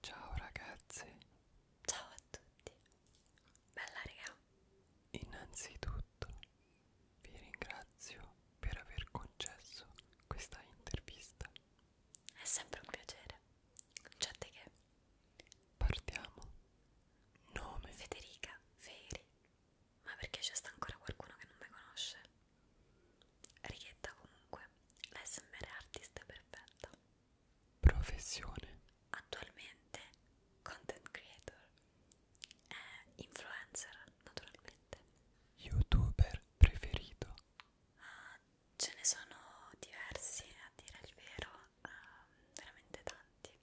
Ciao ragazzi. Ciao a tutti. Bella raga. Innanzitutto vi ringrazio per aver concesso questa intervista. È sempre un piacere. Non c'è te che. Partiamo Nome Federica Feri. Ma perché c'è sta ancora qualcuno che non mi conosce? Richietta comunque, l'SMR artist è perfetta. Professione. Attualmente content creator. Eh, influencer, naturalmente. Youtuber preferito. Uh, ce ne sono diversi, a dire il vero, uh, veramente tanti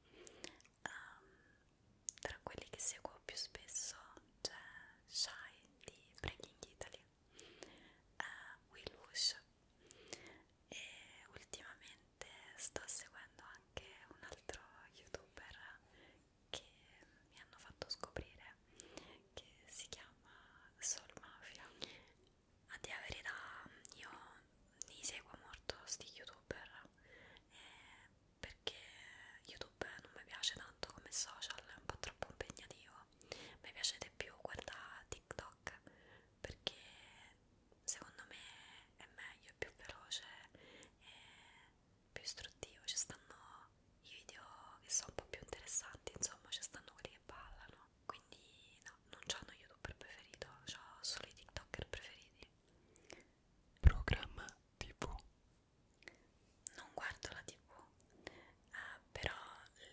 um, tra quelli che seguo più spesso c'è Shy di Breaking Italy, uh, Will Wush e ultimamente sto seguendo anche un altro youtuber che mi hanno fatto scoprire che si chiama Soul Mafia. A dire la verità io li seguo molto sti youtuber eh, perché youtube non mi piace tanto come social è un po' troppo impegnativo mi piace di più guardare tiktok perché secondo me è meglio, è più veloce e più istruttivo ci stanno i video che sono un po' più interessanti insomma ci stanno quelli che ballano quindi no non c'ho uno youtuber preferito, ho solo i tiktoker preferiti. Programma tv. Non guardo la tv, eh, però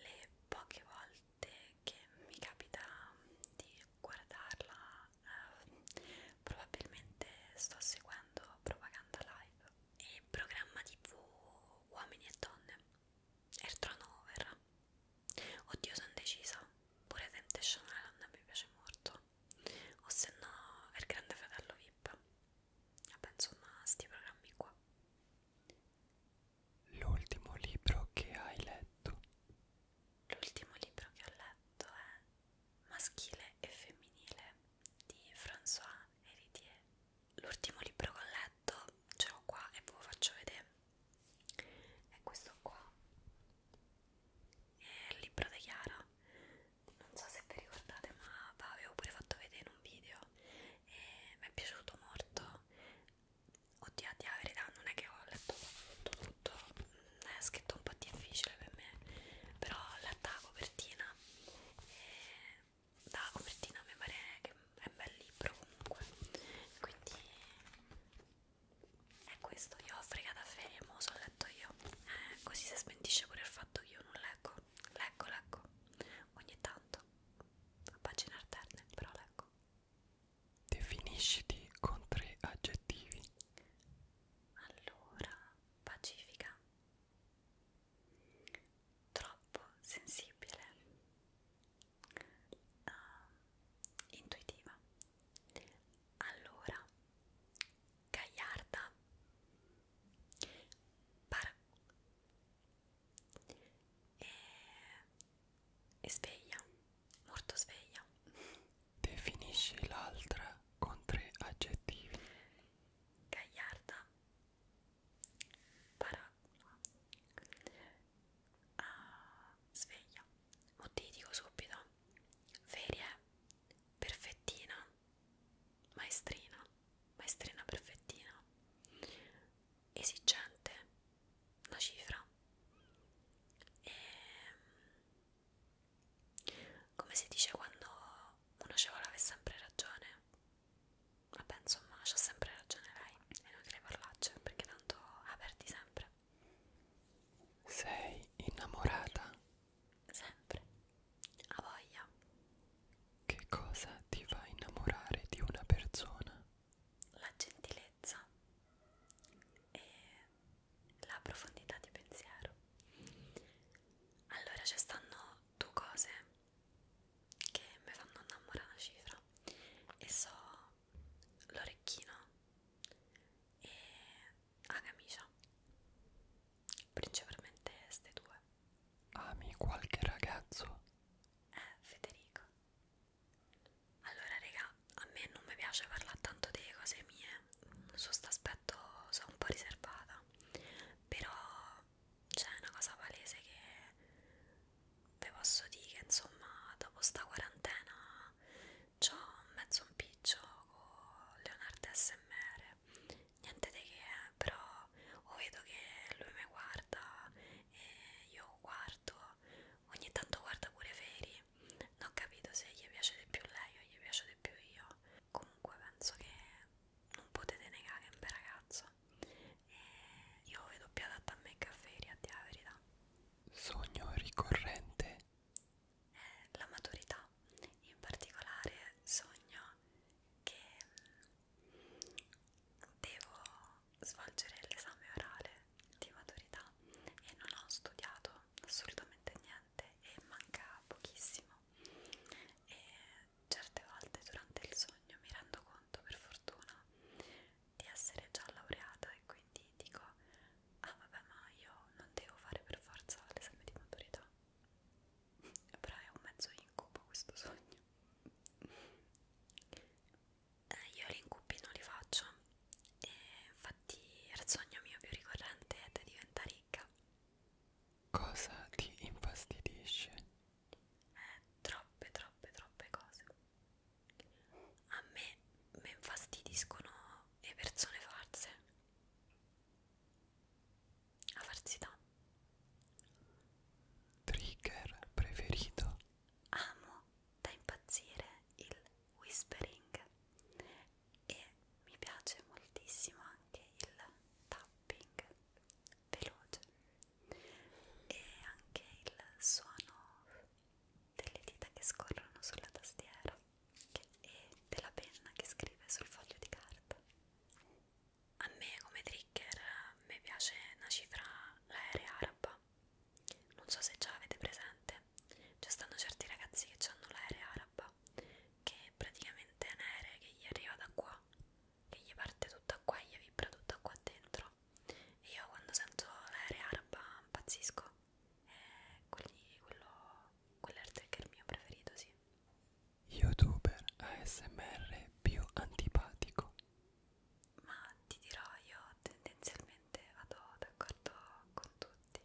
le poche volte che mi capita di guardarla eh, probabilmente sto seguendo propaganda live e programma tv uomini e donne, Ertronover Oddio, sono decisa. Pure Temptation Island mi piace molto. O se no, il grande fratello VIP. Vabbè, insomma, sti programmi qua. L'ultimo libro che hai letto? L'ultimo libro che ho letto è Maschile e Femminile di François Héritier. L'ultimo libro che ho letto ce l'ho qua e ve lo faccio vedere è questo qua è il libro di Chiara non so se vi ricordate ma l'avevo pure fatto vedere in un video e mi è piaciuto molto oddio a dire verità non è che ho letto tutto tutto mm, è scritto un po' difficile per me però ho letto la copertina e da copertina mi pare che è un bel libro comunque quindi e questo io ho fregata a ferie, mo' so letto io. Eh, così si smentisce pure il fatto che io non leggo. Leggo, leggo. Ogni tanto. A pagine alterne, però leggo. Definisciti con tre aggettivi. Allora, pacifica. Troppo sensibile uh, intuitiva allora gagliarda para e, e sveglia molto sveglia definisci l'altra con tre aggettivi gagliarda para ah, sveglia o ti dico subito ferie perfettina maestrina maestrina perfettina esigente una cifra e ehm, come si dice quando uno ce vuole avere sempre ragione vabbè insomma c'ha sempre ragione è inutile parlarci perché tanto aperti sempre. Sei innamorata? Sempre. A voglia. Che cosa ti fa innamorare di una persona? La gentilezza e la profondità di pensiero. Allora ci stanno due cose che mi fanno innamorare una cifra e so l'orecchino e la camicia principalmente ste due ami qualche ragazzo? eh Federico allora raga a me non mi piace parlare tanto delle cose mie su questo aspetto sono un po' riservata però c'è una cosa palese che ve posso dire che insomma dopo sta quarantena c'ho mezzo un piccio con Leonardo SMR niente di che eh, però o vedo che lui mi guarda e io guardo ogni tanto guarda pure Feri non ho capito se gli piace di più lei o gli piace di più io comunque penso che non potete negare che è un bel ragazzo e eh, io vedo più adatta a me che a Feri, a dire la verità. Sogno ricorrente? Eh, la maturità, in particolare sogno che mm, devo svolgere l'esame orale di maturità e non ho studiato assolutamente niente e manca pochissimo e certe volte durante il sogno mi rendo conto per fortuna di essere già laureata e quindi dico ah vabbè ma io non devo fare per forza l'esame di maturità però è un mezzo incubo questo sogno eh, io gli incubi non li faccio e infatti il sogno mio più ricorrente è di diventare ricca cosa ti infastidisce? eh, troppe troppe troppe cose a me mi infastidiscono le persone false la falsità trigger preferito amo da impazzire il whispering e mi piace moltissimo anche il tapping veloce e anche il suono delle dita che scorrono sulla tastiera che, e della penna che scrive sul foglio di carta. A me come trigger mi piace una cifra, l'aerea araba. Non so se già avete presente, ci stanno certi ragazzi che hanno l'aerea araba che praticamente è un aereo che gli arriva da qua che gli parte tutta qua e gli vibra tutta qua dentro e io quando sento l'aereo araba impazzisco e eh, quelli, quello, quell'airtag è il mio preferito, sì youtuber ASMR più antipatico ma ti dirò io tendenzialmente vado d'accordo con tutti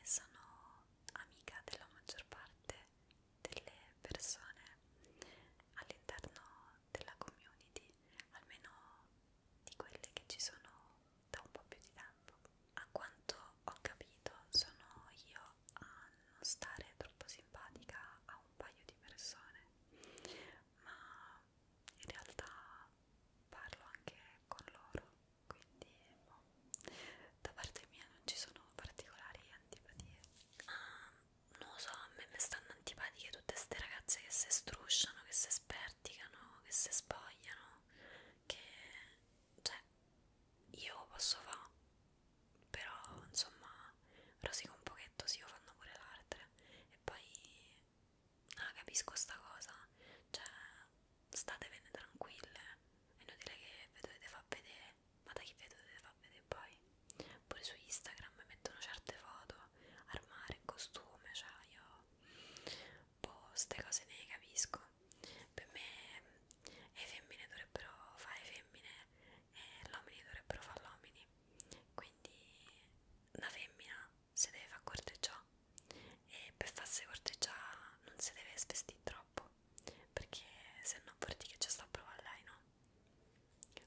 e sono amica della maggior parte delle persone all'interno della community, almeno di quelle che ci sono da un po' più di tempo. A quanto ho capito sono io a non stare troppo simpatica a un paio di persone, ma in realtà parlo anche con loro, quindi boh, da parte mia non ci sono particolari antipatie. Um, non lo so, a me mi stanno antipatiche tutte ste ragazze che si strusciano, che si sperticano, che si spogliano, che cioè io posso fare, però insomma rosico un pochetto, sì, lo fanno pure l'altre e poi ah, capisco sta cosa, cioè statevene tranquille, è inutile che vi dovete far vedere ma da chi vedo deve far vedere poi pure su Instagram mettono certe foto al mare in costume cioè io boh ste cose ne capisco per me le eh, femmine dovrebbero fare femmine e eh, gli uomini dovrebbero fare l'omini quindi una femmina si deve far corteggiare e per farsi corteggiare non si deve svestire troppo perché se no vuol dire che ci sta a provare lei no?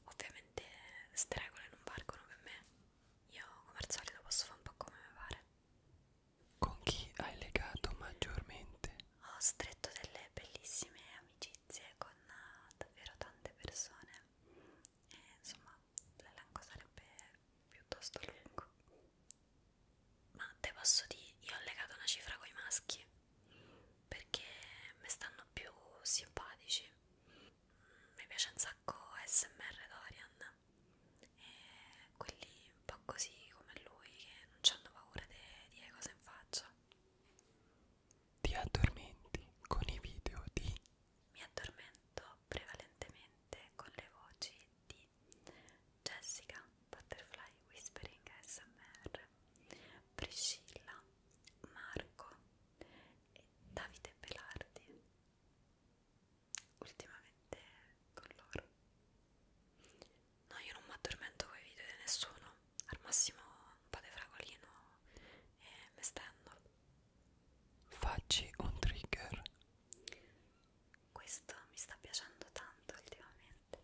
Ovviamente stregole non valgono per me. Io come al solito posso fare un po' come mi pare. Con chi hai legato maggiormente? Ho stretto delle bellissime amicizie con eh, davvero tante persone. E insomma, l'elenco sarebbe piuttosto lungo. Ma te posso dire, io ho legato una cifra con i maschi perché mi stanno più simpatici mi piace un sacco SMR Dorian e quelli un po' così come lui che non hanno paura di dire cose in faccia ti addormenti con i video di mi addormento prevalentemente con le voci di Jessica Butterfly Whispering ASMR Priscilla, Marco e Davide Pelardi ultimamente con loro no io non mi addormento con i video di nessuno al massimo un po' di fragolino e mi stendo facci un trigger questo mi sta piacendo tanto ultimamente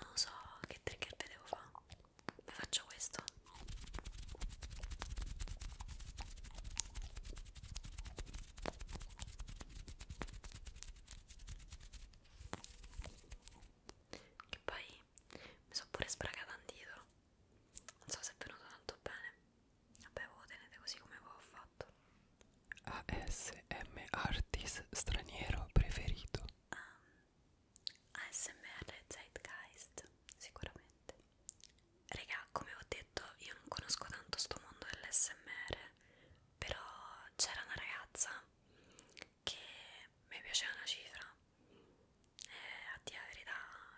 Non so che trigger vi devo fare. Vi faccio questo. Che poi mi sono pure spragata un dito non so se è venuto tanto bene vabbè voi lo tenete così come avevo fatto ASM artist straniero preferito um, ASMR Zeitgeist sicuramente raga come ho detto io non conosco tanto sto mondo dell'SMR però c'era una ragazza che mi piaceva una cifra e eh, a dire la verità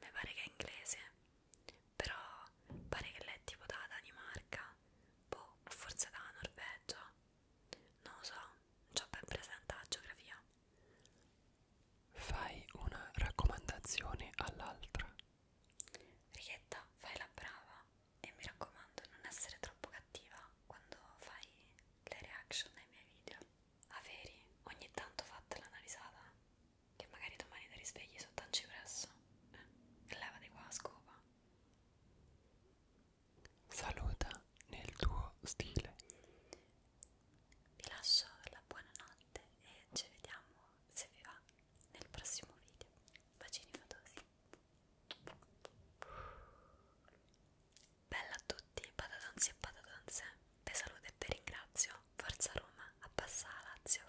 mi pare che è inglese, però pare che lei è tipo da Danimarca, boh, o forse da Norvegia, non lo so, non ho ben presente la geografia. Fai una raccomandazione all'altra. Righetta, fai la brava e mi raccomando non essere troppo cattiva quando fai le reaction ai miei video. Averi, ogni tanto fatta la risata, che magari domani ti risvegli sotto un cipresso. Eh, levati qua, scopa. Saluta nel tuo stile. Vi lascio la buonanotte e ci vediamo se vi va nel prossimo video. Bacini fatosi. Bella a tutti, patatonzi e patatonze, vi saluto e vi ringrazio, forza Roma, abbassa la Lazio!